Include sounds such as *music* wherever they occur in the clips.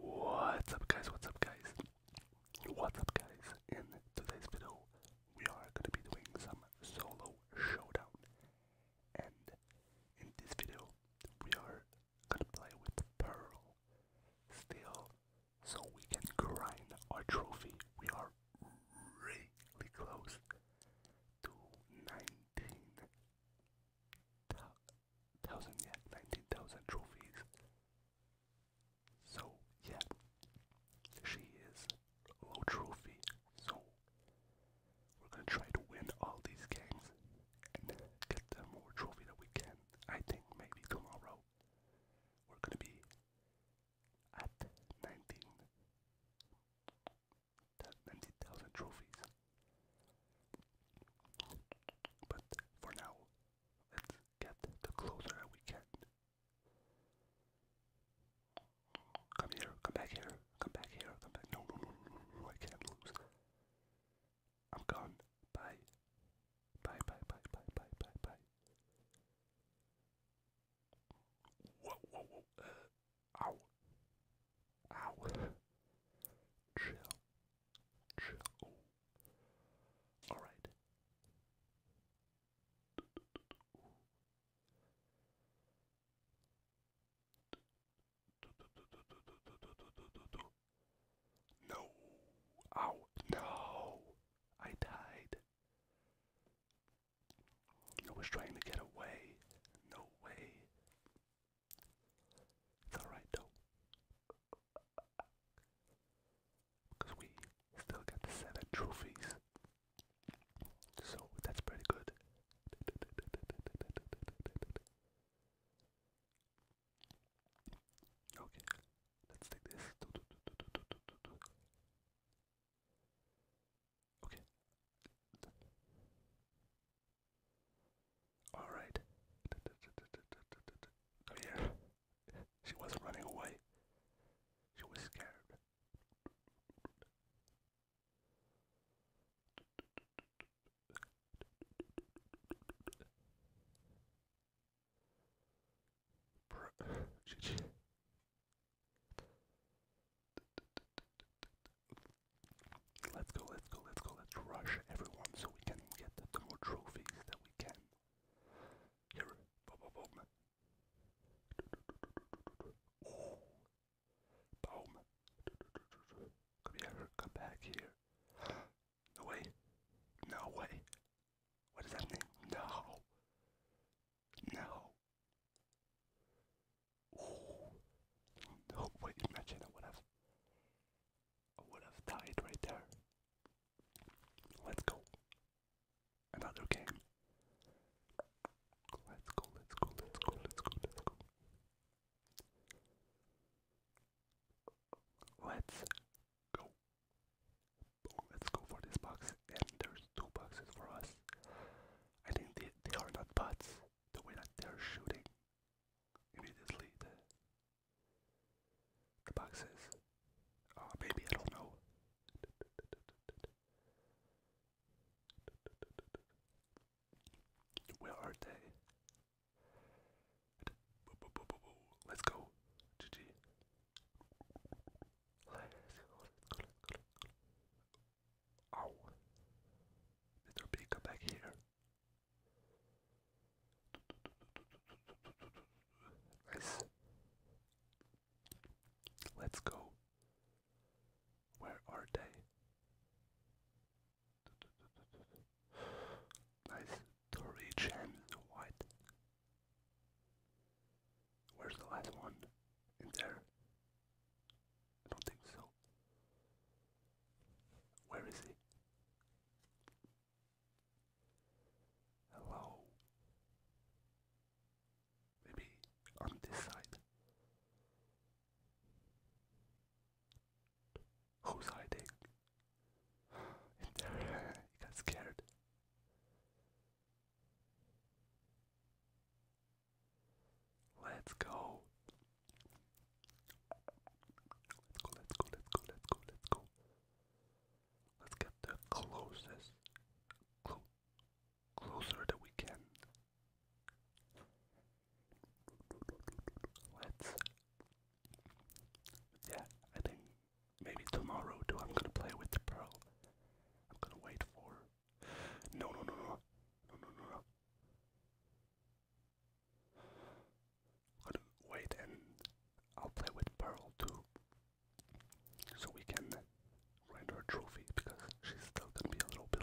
What's up guys, what's up guys, what's up guys, in today's video we are going to be doing some solo showdown and in this video we are going to play with Pearl still so we can grind our trophy, we are really close to 19 thousand, yeah, 19,000 trophies. So, yeah, she is low trophy. So, we're gonna try to win all these games and get the more trophy that we can. I think maybe tomorrow we're gonna be at 19. 90,000 trophies. But for now, let's get the closer we can. Come here, come back here, come back here, come back. No, no, no, no, no, I can't lose. I'm gone. Bye. Bye, bye, bye, bye, bye, bye, bye. Whoa, whoa, whoa. Ow. Ow. Chill. Chill. Alright. No. Ow. No. I died. No one's trying to get away. No way. It's alright though. Because we still got the seven trophies. So that's pretty good. Okay, let's take this. Okay. Alright. here. Oh, she wasn't running away. She was scared. Let's go, let's go, let's go, let's rush everyone so we can get the more trophies that we can. Here, boom, Come here, come back here. No way, no way. What is happening? No, no. Ooh. No, wait, imagine I would have I would have died right there. Let's go. Another game. Let's go, let's go, let's go, let's go, let's go. Let's go. Oh, let's go for this box. And there's two boxes for us. I think they, they are not bots. The way that they're shooting immediately the, the boxes. Uh, maybe I don't know. Where are they? Let's go, GG. Let's go, let go, go, go. Ow. Better be back here. Nice. Let's go. Where are they? Nice. Three gems. What? Where's the last one? In there? I don't think so. Where is he? Hello? Maybe on this side? Who's hiding? you *sighs* got scared. Let's go. Let's go, let's go, let's go, let's go, let's get the closest, closer that we can. Let's yeah, I think maybe tomorrow too. I'm gonna play with pearl. I'm gonna wait for. No, no, no, no, no, no, no. I'm gonna wait and I'll play with pearl too, so we can render her trophy because she's still gonna be a little bit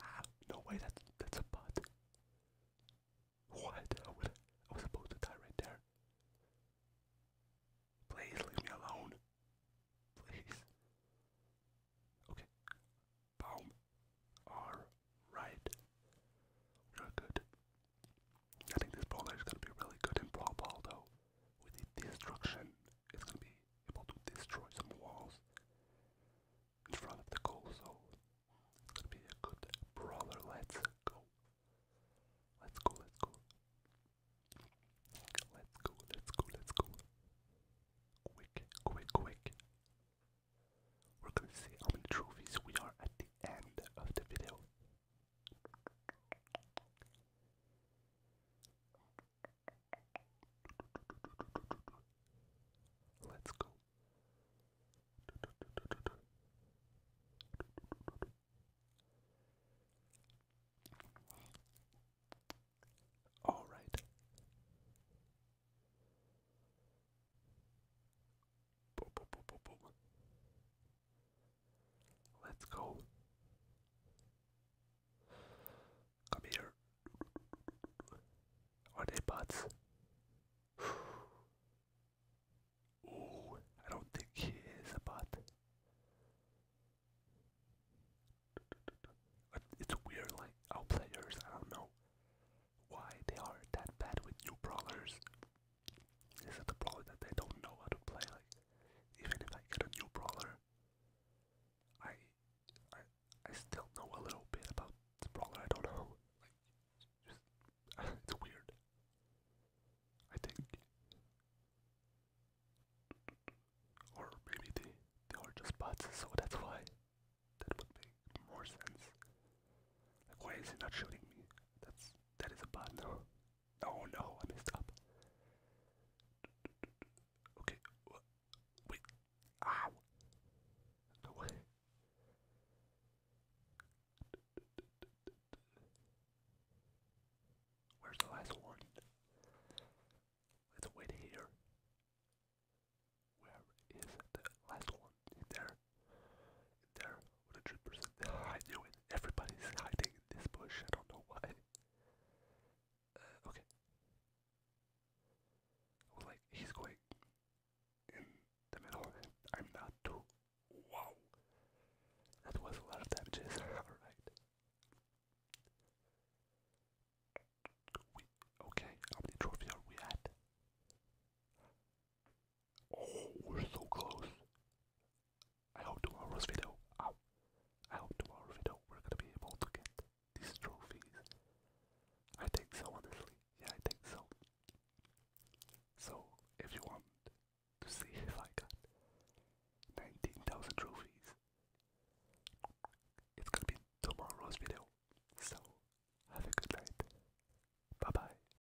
Ah, no way, that's, that's a butt. What? I was, supposed to die right there. Please leave me alone. Please. Okay. Boom. Alright. We're good. I think this brawler is gonna be really good in Brawl Ball though. the destruction, it's gonna be able to destroy some walls in front of the goal, so it's gonna be a good brawler. Let's go. Let's go, let's go. Let's go, let's go, let's go. Quick, quick, quick. We're gonna see how many trophies we are at the end of the video. Let's go. All right. Let's go. Come here. Are they bots? *sighs* Ooh, I don't think he is a bot. It's weird, like, our players, I don't know why they are that bad with new brawlers. Is it the problem that they don't know how to play? Like, even if I get a new brawler, I, I, I still know a little bit about Brawler. I don't know, like, *laughs* it's weird. I think, or maybe they they are just bots, so that's why that would make more sense. Like, why is he not shooting me? That's that is a bad now. Oh no, I messed up. Okay, wait. Ow! Go Where's the last one? Let's wait here. Where is the last one? there. there. What percent. I knew Everybody's hiding this bush. I don't know why. Uh, okay. like he's going in the middle, I'm not too. Wow, that was a lot of damages. *laughs* All right. okay. How many trophies are we at? Oh, we're so close. I hope tomorrow's video. Ow. I hope tomorrow's video we're gonna be able to get these trophies. I think so, honestly. Yeah, I think so. So, if you want to see *laughs* if I got 19,000 trophies, it's gonna be tomorrow's video. So, have a good night. Bye bye.